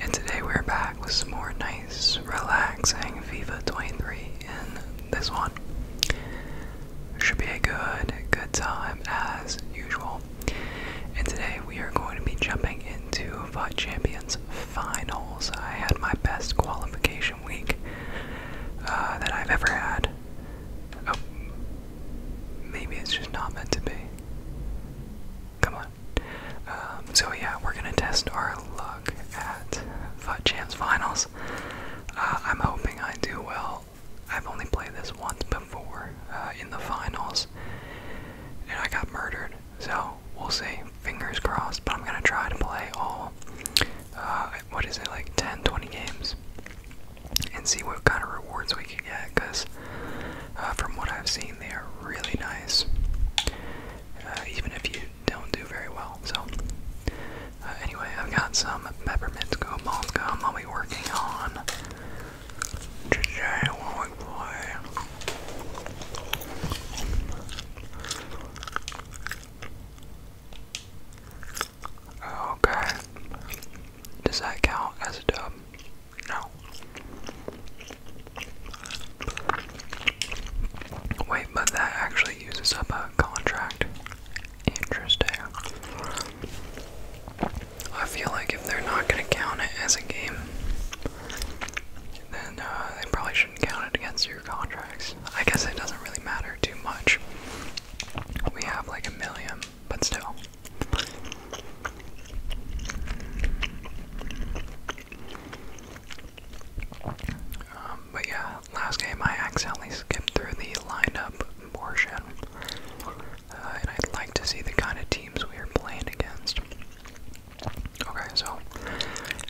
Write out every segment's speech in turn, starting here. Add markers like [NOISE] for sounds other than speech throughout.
And today we're back with some more nice, relaxing FIFA 23 And this one. Should be a good, good time as usual. And today we are going to be jumping into FUT Champions Finals. I had my best qualification week uh, that I've ever had. Oh, maybe it's just not meant to be. Come on. Um, so yeah, we're gonna test our luck at FUT Champs Finals. Uh, I'm hoping I do well. I've only played this once before uh, in the finals, and I got murdered. So we'll see. Fingers crossed. But I'm gonna try to play all. Uh, what is it like 10 20 games and see what kind of rewards we can get because uh, from what I've seen, they are really nice, uh, even if you don't do very well. So, uh, anyway, I've got some peppermint go malt gum I'll be working on today Okay. Does that count as a dub? No. Wait, but that actually uses up a contract. Interesting. I feel like if they're not going to count it as a game, then uh, they probably shouldn't count it against your contracts. I guess it doesn't really matter too much. We have like a million, but still. Um, but yeah, last game I accidentally skipped through the lineup portion, uh, and I'd like to see the kind of teams we are playing against. Okay, so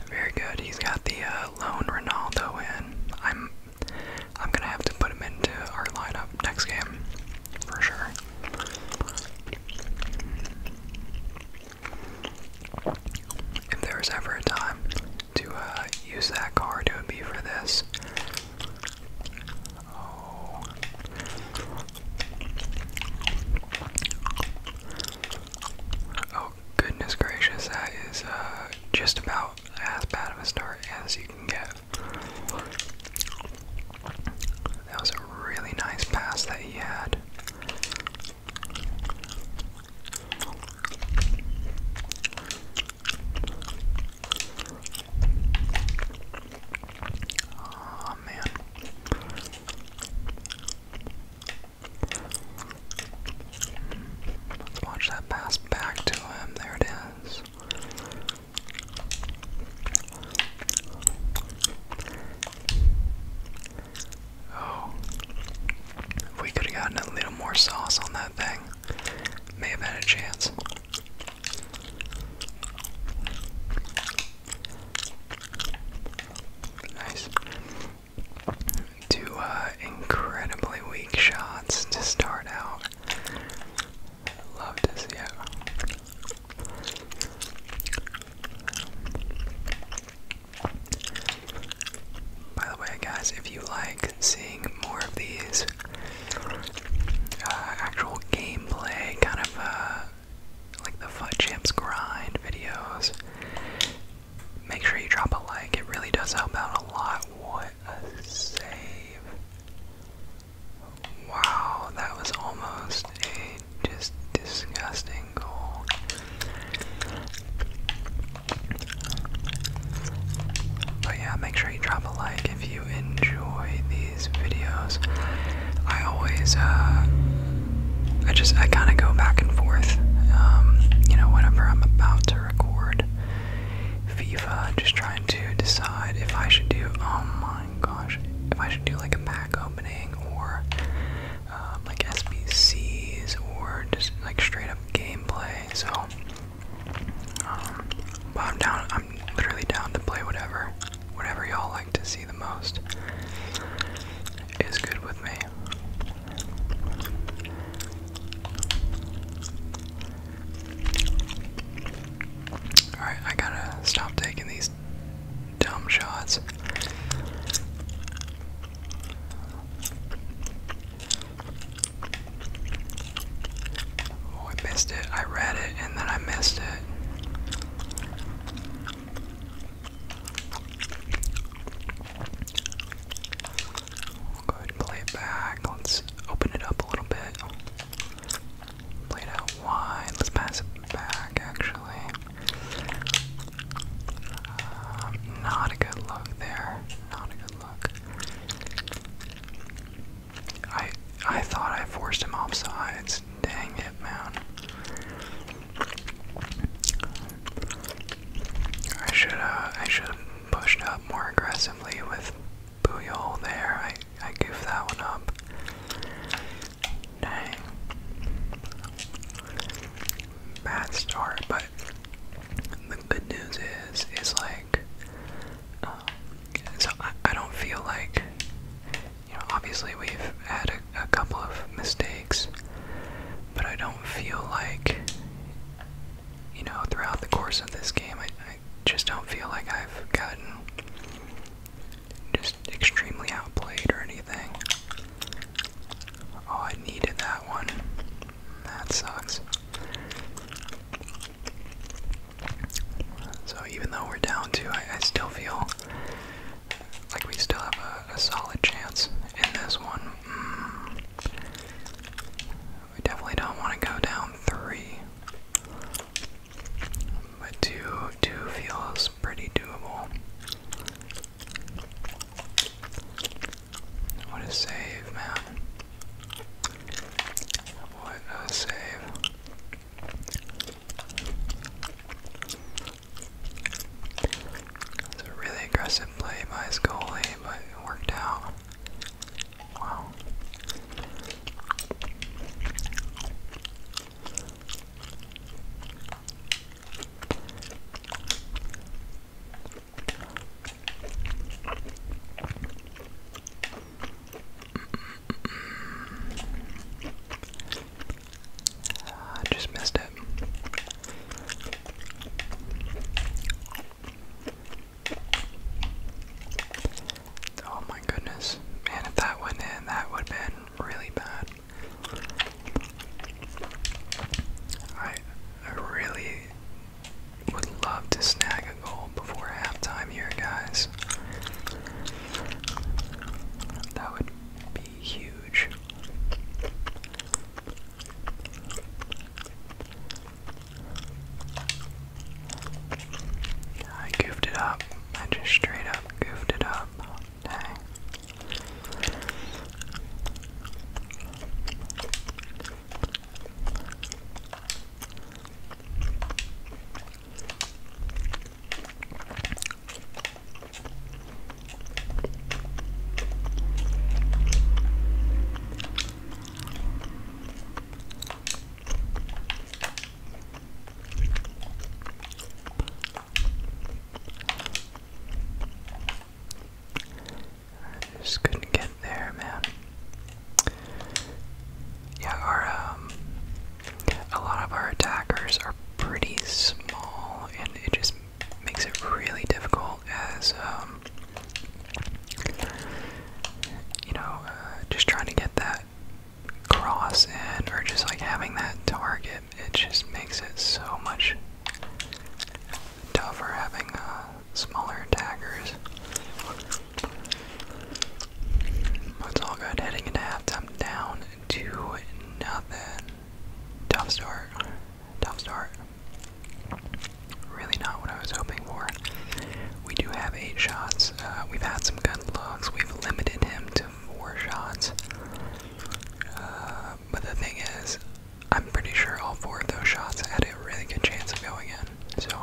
very good. He's got the uh, lone Ronaldo in. I'm I'm gonna have to put him into our lineup next game for sure. If there was ever a time to uh, use that car to be for this. Oh. oh. goodness gracious, that is uh, just about as bad of a start as you can get. That was a really nice pass that he had. Oh man. Let's watch that pass back to him. There it is. Oh, we could have gotten a little more sauce on that thing, may have had a chance. Nice. Two uh, incredibly weak shots to start out. I love to see it. By the way, guys, if you like seeing more of these uh, actual gameplay, kind of uh, like the Fun Champs grind videos, make sure you drop a like. It really does help out a lot. What a save! Wow, that was almost a just disgusting goal. But yeah, make sure you drop a like if you enjoy these videos. I always, uh, I just, I kind of go back and forth, um, you know, whenever I'm about to record FIFA, just trying to decide if I should do, oh gosh. If I should do like a pack opening or um, like SBCs or just like straight up gameplay, so um, I'm down. I'm literally down to play whatever, whatever y'all like to see the most is good with me. Alright, I gotta stop taking these dumb shots. Oh, I missed it. I read it and then I missed it. go ahead and play it back. Let's open it up a little bit. Played out wide. Let's pass it back, actually. Uh, not a good look there. Not a good look. I I thought I forced him off sides. Dang it, man. I should uh, I should have pushed up more aggressively with Booyol there. I I goofed that one up. Dang. Bad start, but the good news is, is like, um, so I, I don't feel like, you know, obviously we've had a, a couple of mistakes, but I don't feel like, you know, throughout the course of this game, I, I just don't feel like I've gotten just extremely outplayed or anything. Oh, I needed that one. That sucks. So even though we're down two, I, still feel like we still have a, solid chance in this one. Mm. We definitely don't want to go down three. But two two feels pretty doable. What a save, man. What a save. It's a really aggressive play by his but it worked out. Wow. Ah, I just missed it. Oh my goodness. Man, if that went in, that would have been really bad. I, I really would love to snag a goal before halftime here, guys. That would be huge. I goofed it up. I just straight up goofed it up. Dang. I just couldn't get there, man. Yeah, our um, a lot of our attackers are pretty small, and it just makes it really difficult as um, you know, uh, just trying to get that cross in or just like having that target, it just makes it so much tougher having uh, smaller attackers. But all good. Heading into halftime, down to nothing. Tough start. Tough start. Really not what I was hoping for. We do have eight shots. Uh, we've had some good looks. We've limited him some shots. Uh, but the thing is, I'm pretty sure all four of those shots had a really good chance of going in. So,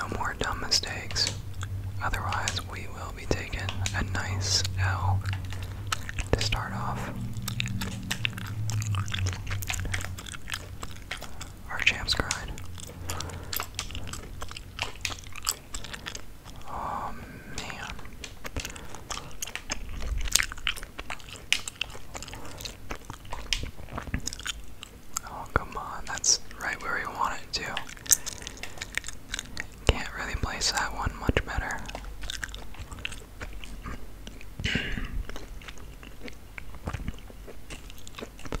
no more dumb mistakes. Otherwise, we will be taking a nice L to start off. Archamp's cried. Oh man. Oh come on, that's right where we want it to. Can't really place that one much better. [CLEARS THROAT]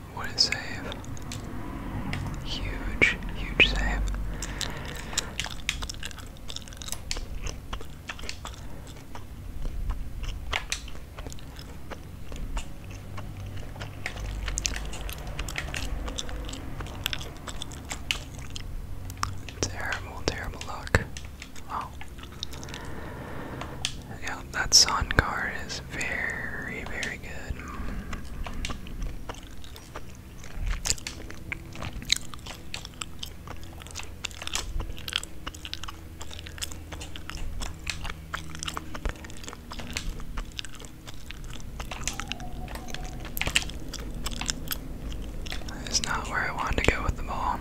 What a save. Huge, huge save. Terrible, terrible luck. Wow. Oh. Yeah, that son card is very, very good. It's not where I wanted to go with the ball.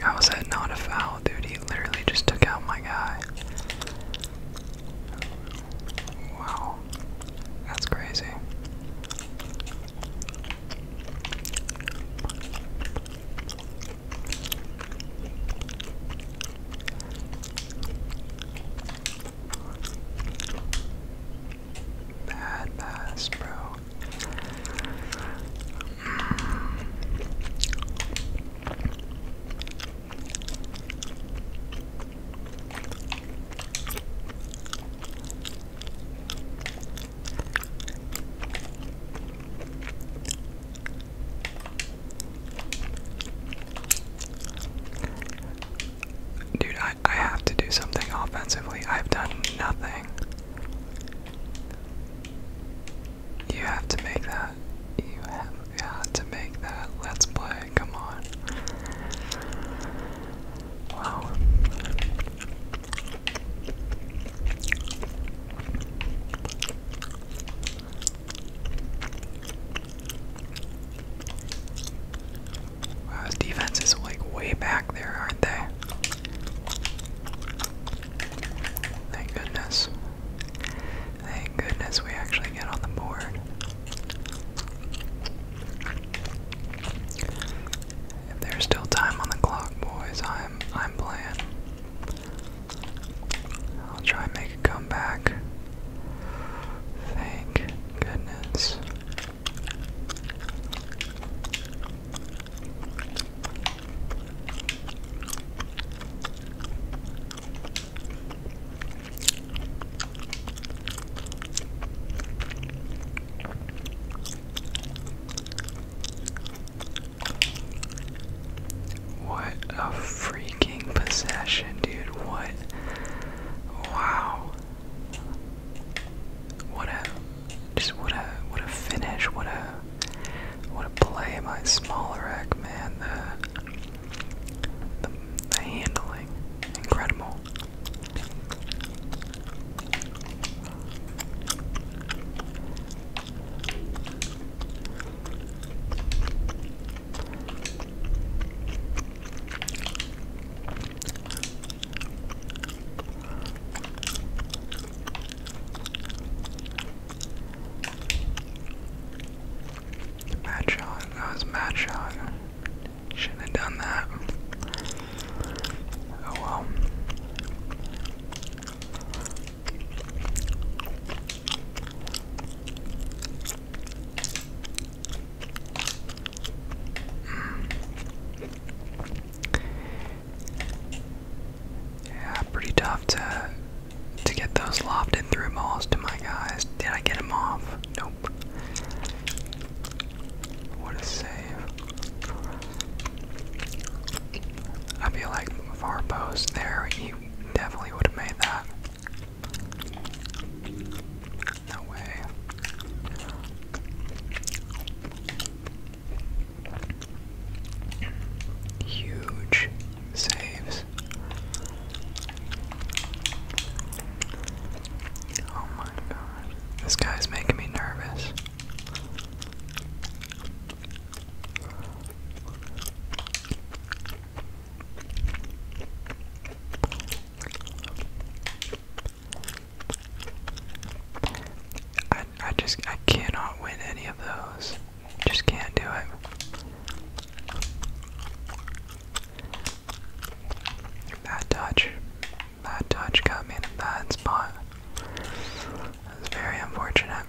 How is that not a foul, dude? He literally just took out my guy. Wow. That's crazy. Bad pass, bro. Dude, I, I have to do something offensively. I've done nothing. You have to make that. You have got to make that. Let's play. Come on. Wow. Wow, his defense is like way back there, aren't they? Thank goodness. Thank goodness we actually get on the board. If there's still time on the clock, boys, I'm I'm playing. I'll try and Come back! Thank goodness. What a freak fucking possession, dude. What? Wow. What a just what a what a finish. What a what a play by Smolarek, man. The, the the handling, incredible. Bad shot. That was a shot. Shouldn't have done that. Oh well. Yeah, pretty tough to to get those lofted through balls to my guys. Did I get him off? Nope. What a save. I feel like far post there, he definitely would have made that. No way. Huge saves. Oh my god. This guy's making me nervous. I I just I cannot win any of those. Just can't do it. Bad touch. Bad touch got me in a bad spot. That's very unfortunate.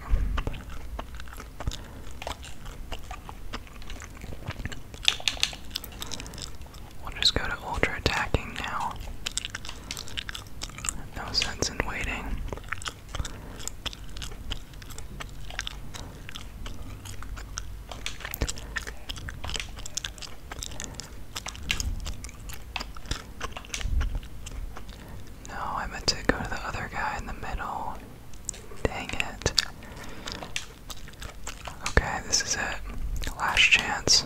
We'll just go to ultra attacking now. No sense in waiting. No, I meant to go to the other guy in the middle. Dang it. Okay, this is it. Last chance.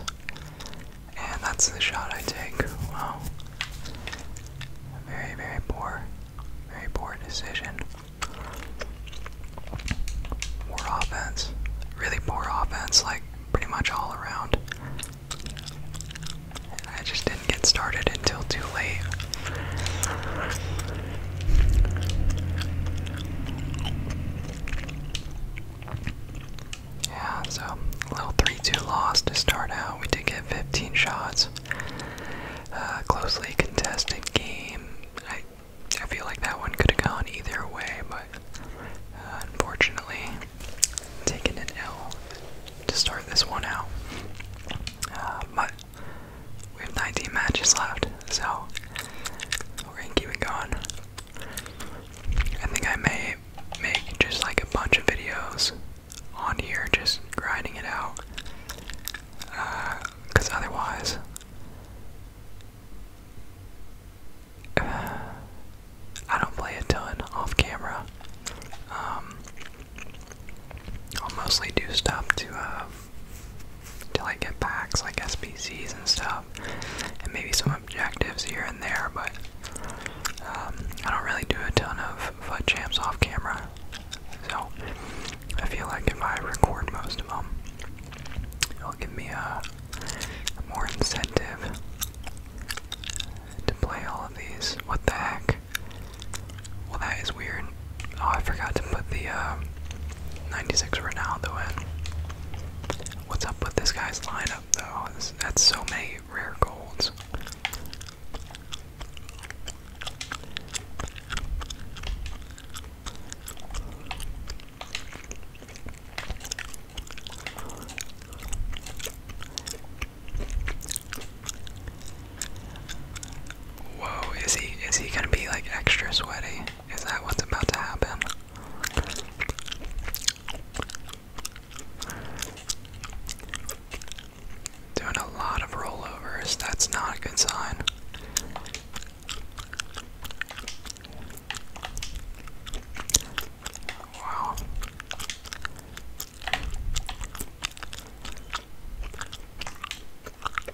And that's the shot I take. Wow. Very, very poor. Very poor decision. Poor offense. Really poor offense, like pretty much all around. I just didn't get started until too late. Yeah, so a little 3 2 loss to start out. We did get 15 shots. Uh, closely contested game. I, I feel like that one could have gone either way, but uh, unfortunately, taking an L to start this one out. Uh, but we have 19 matches left, so we're gonna keep it going. I think I may make just like a bunch of videos on here, just grinding it out. Because uh, otherwise, uh, I don't play a ton off camera. Um, I'll mostly do stuff to uh, to like get packs like SPCs and stuff, and maybe some objectives here and there. But um, I don't really do a ton of foot jams off camera, so I feel like if I record most of them, it'll give me a more incentive to play all of these. What the heck? Well, that is weird. Oh, I forgot to put the uh, 96 Ronaldo in. What's up with this guy's lineup, though? that's so many rare golds. Whoa, is he is he gonna be like extra sweaty? Is that what's about to happen? Doing a lot of rollovers, that's not a good sign. Wow.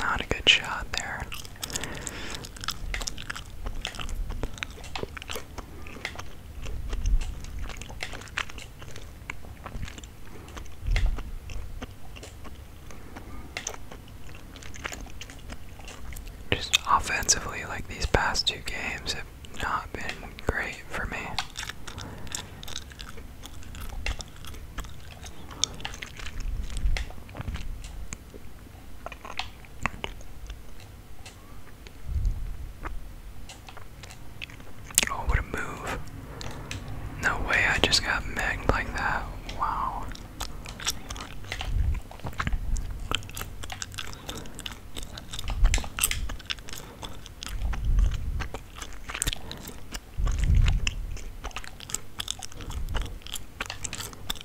Not a good shot there. Just offensively, like these past two games have not been great for me. Oh, what a move. No way, I just got megged like that. Wow.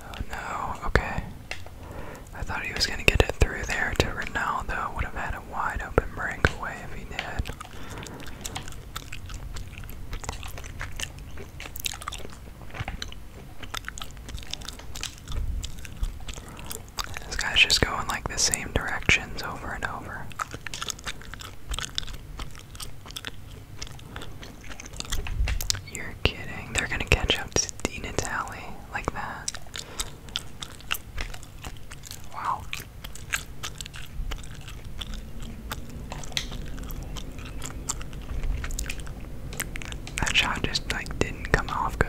Oh no, okay. I thought he was going to get it through there to Ronaldo. Would have had a wide open breakaway if he did. This guy's just going like the same directions over and over. You're kidding. They're gonna catch up to Dean Italy like that. Wow. That shot just like didn't come off good.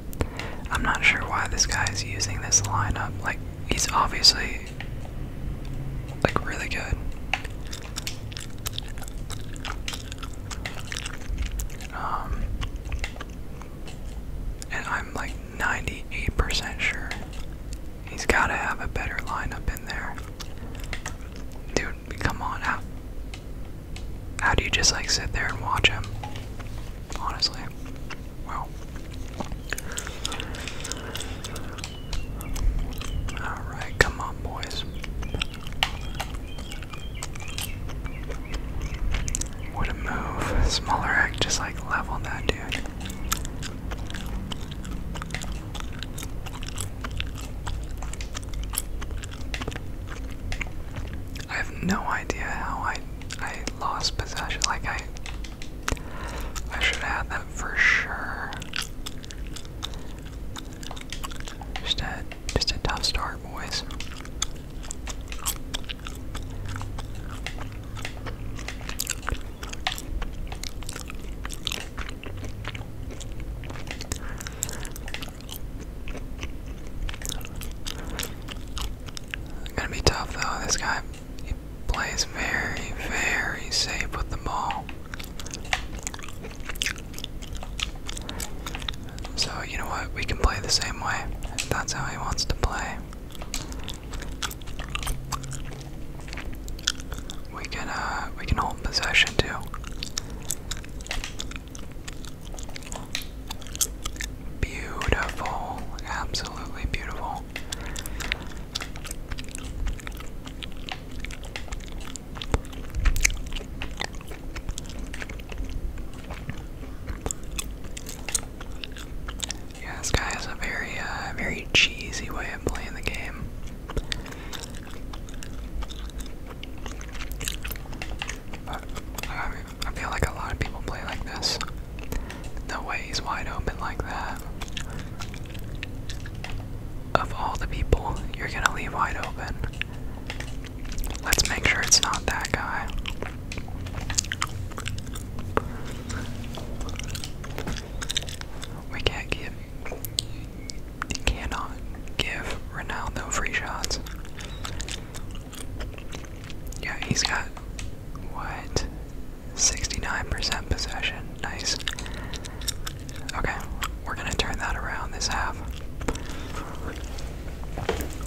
I'm not sure why this guy's using this lineup. Like, he's obviously like really good. Um, and I'm like 98% sure he's got to have a better lineup in there. Dude, come on out. How do you just like sit there and watch him? Honestly. Wow. Alright, come on, boys. What a move. Smaller act just like level that dude. I have no idea how I I lost possession. Like I I should have had that for sure. Just a just a tough start, boys. Gonna be tough though. This guy he plays very, very safe with the ball. So you know what? We can play the same way. that's how he wants to play. We can uh we can hold possession too. Beautiful, absolutely beautiful. Yeah, this guy has a very, uh, very cheesy way of playing the game. I feel like a lot of people play like this. No way he's wide open like that. Of all the people you're gonna leave wide open. Let's make sure it's not that guy. We can't give cannot give Ronaldo free shots. Yeah, he's got what? 69% possession. Nice. Okay, we're gonna turn that around this half.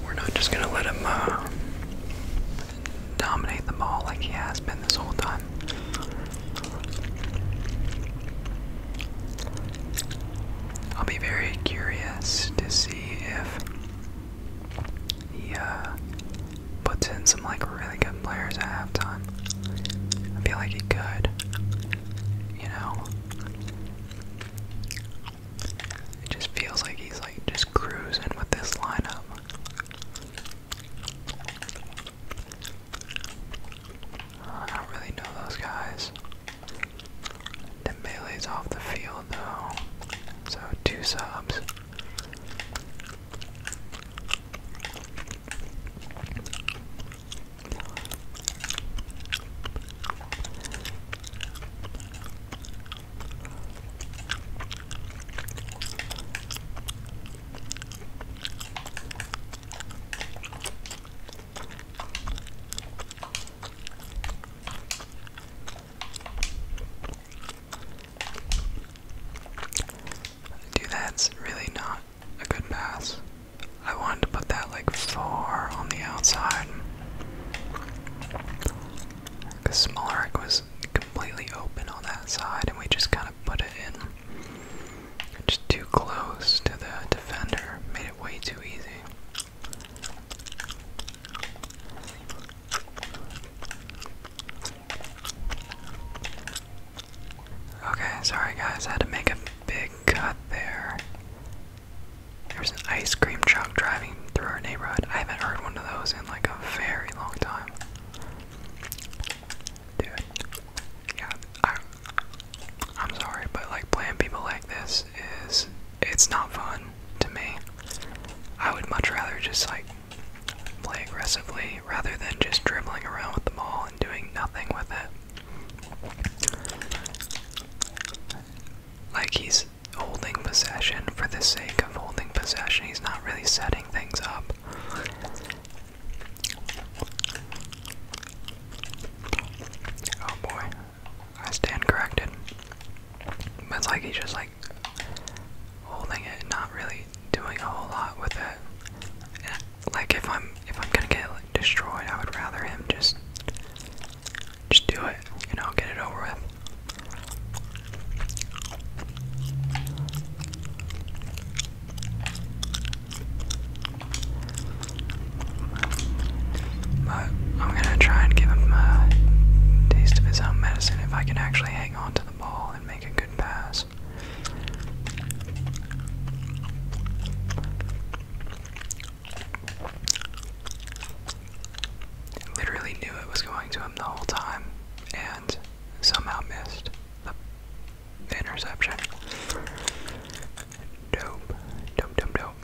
We're not just gonna let him uh, dominate the ball like he has been this whole time. I'll be very curious to see if he uh, puts in some like really good players at halftime. I feel like he could, you know. It just feels like he's like just cruising with this lineup. I don't really know those guys. Dembele's off the field though, so two subs. Dude, that's really not a good pass. I wanted to put that like four on the outside. Because Smolarek was completely open on that side, and we just kind of put it in. Just too close to the defender. Made it way too easy. Okay, sorry guys, I had to make a big cut there. There's an ice cream truck driving through our neighborhood. I haven't heard one of those in like a very long time. Dude, yeah, I'm sorry, but like playing people like this is it's not fun to me. I would much rather just like play aggressively rather than just dribbling around with the ball and doing nothing with it. Like he's holding possession for the sake of holding possession. He's not really setting things up. Oh boy. I stand corrected. But it's like he's just like holding it, not really doing a whole lot with it. like if I'm if I'm gonna get destroyed, I would rather him just just do it, you know, get it over with. But I'm gonna try and give him a taste of his own medicine if I can actually hang on to the ball and make a good pass. Literally knew it was going to him the whole time and somehow missed the, interception. Dope, dope, dope, dope.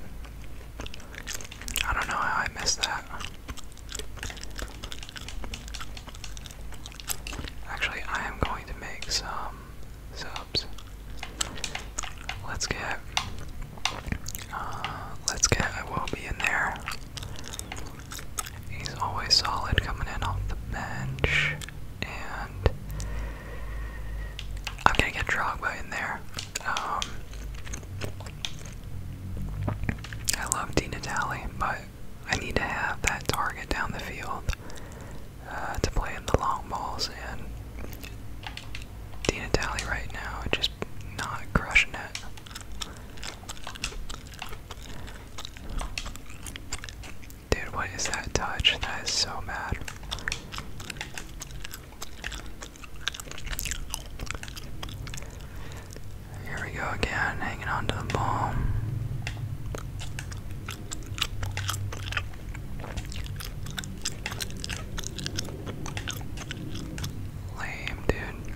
I don't know how I missed that. Actually, I am going to make some subs. Let's get. Uh, let's get. I will be in there. He's always solid coming in off the bench, and I'm gonna get Drogba in there. Um, I love Dina Talley, but I need to have that target down the field uh, to play in the long balls, and Dina Talley right now just not crushing it. Dude, what is that touch? That is so mad. Here we go again, hanging on to the ball. Lame, dude.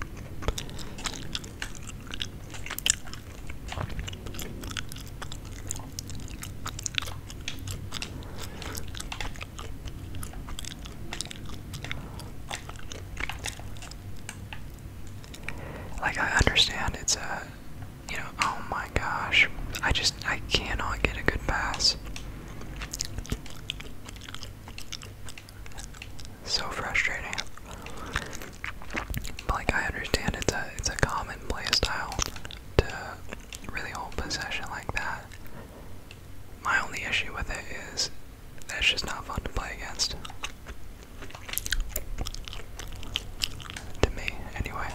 Like I understand it's a you know, oh my gosh. I just I cannot get a good pass. So frustrating. like I understand it's a it's a common play style to really hold possession like that. My only issue with it is that's just not fun to play against. To me, anyway.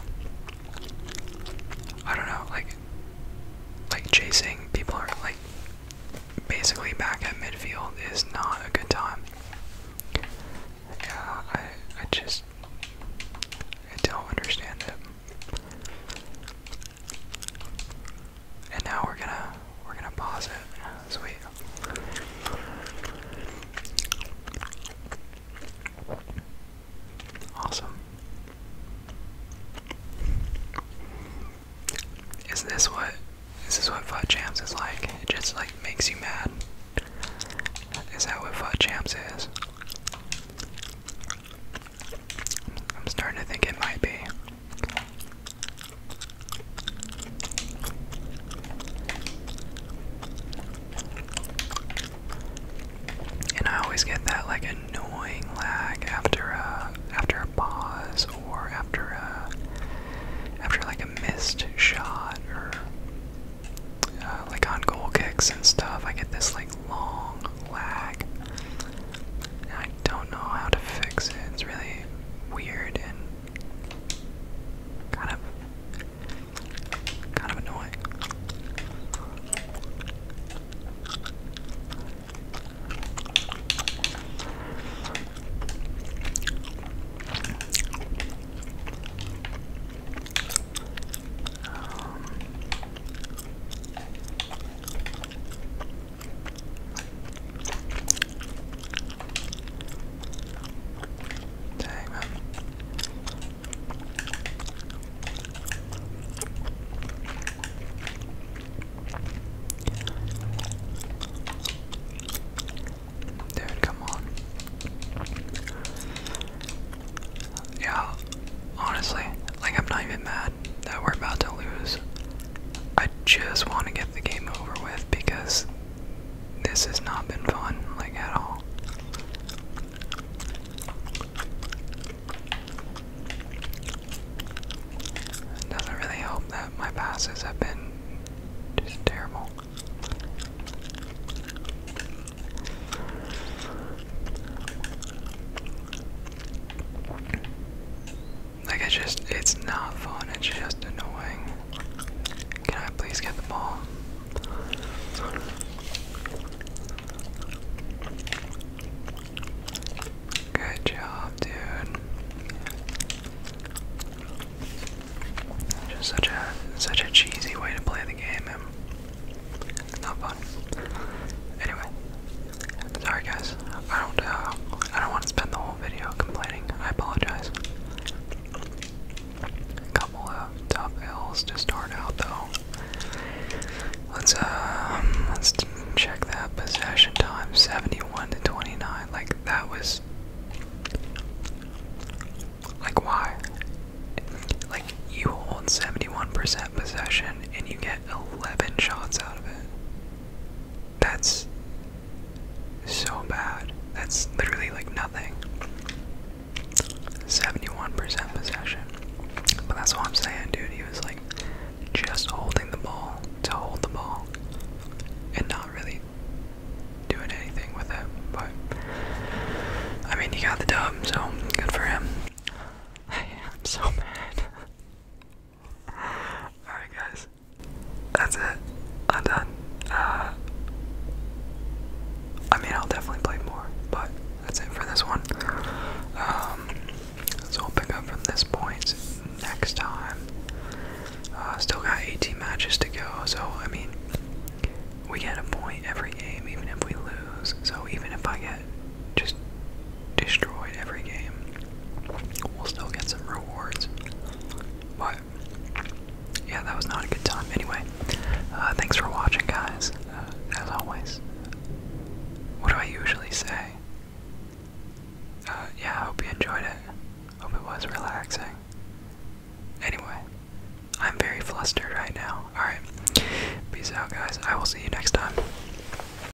I don't know, like, like chasing people are like basically back at midfield is not a good time. Yeah, I I just I don't understand it. And now we're gonna we're gonna pause it. Sweet. Awesome. Is this what is this what Fud Champs is like? It just like makes you mad. Is that what Fud Champs is? I'm starting to think it might be. And I always get that like annoying lag after a after a pause or after a after like a missed shot or uh, like on goal kicks and stuff. I get this like long lag. I don't know how to fix it. It's really weird and kind of kind of annoying. Um, Dang, man. Dude, come on. Yeah, honestly, like, I'm not even mad that we're about to lose. I just want to get the game over with because this has not been fun, like, at all. It does really help that my passes have been just terrible. Like, it's just, it's not fun, it's just annoying. Can I please get the ball? Good job, dude. Just such a such a cheesy way to play the game and not fun. Anyway, Sorry guys, I don't uh, I don't want to spend the whole video complaining. I apologize. couple tough L's to start out though. Let's uh, let's check that possession time, 71 to 29. Like that was like why? Like you hold 71% possession and you get 11 shots out of it. That's so bad. That's literally like nothing. 71% possession. But that's what I'm saying, dude. He was like just holding the ball to hold the ball and not really doing anything with it. But I mean, he got the dub, so good for him. [LAUGHS] I am so mad. Alright, guys. That's it. I'm done. Uh, I mean, I'll definitely play more, but that's it for this one. Um, so i up from this point next time. Uh, still got 18 matches to go, so I mean, we get a point every game, even if we lose. So even if I get just destroyed every game, we'll still get some rewards. But yeah, that was not a good time. Anyway, uh, thanks for watching, guys. Uh, as always, what do I usually say? Uh, yeah, I hope you enjoyed it. Hope it was relaxing. Anyway, I'm very flustered right now. Alright, peace out, guys. I will see you next time.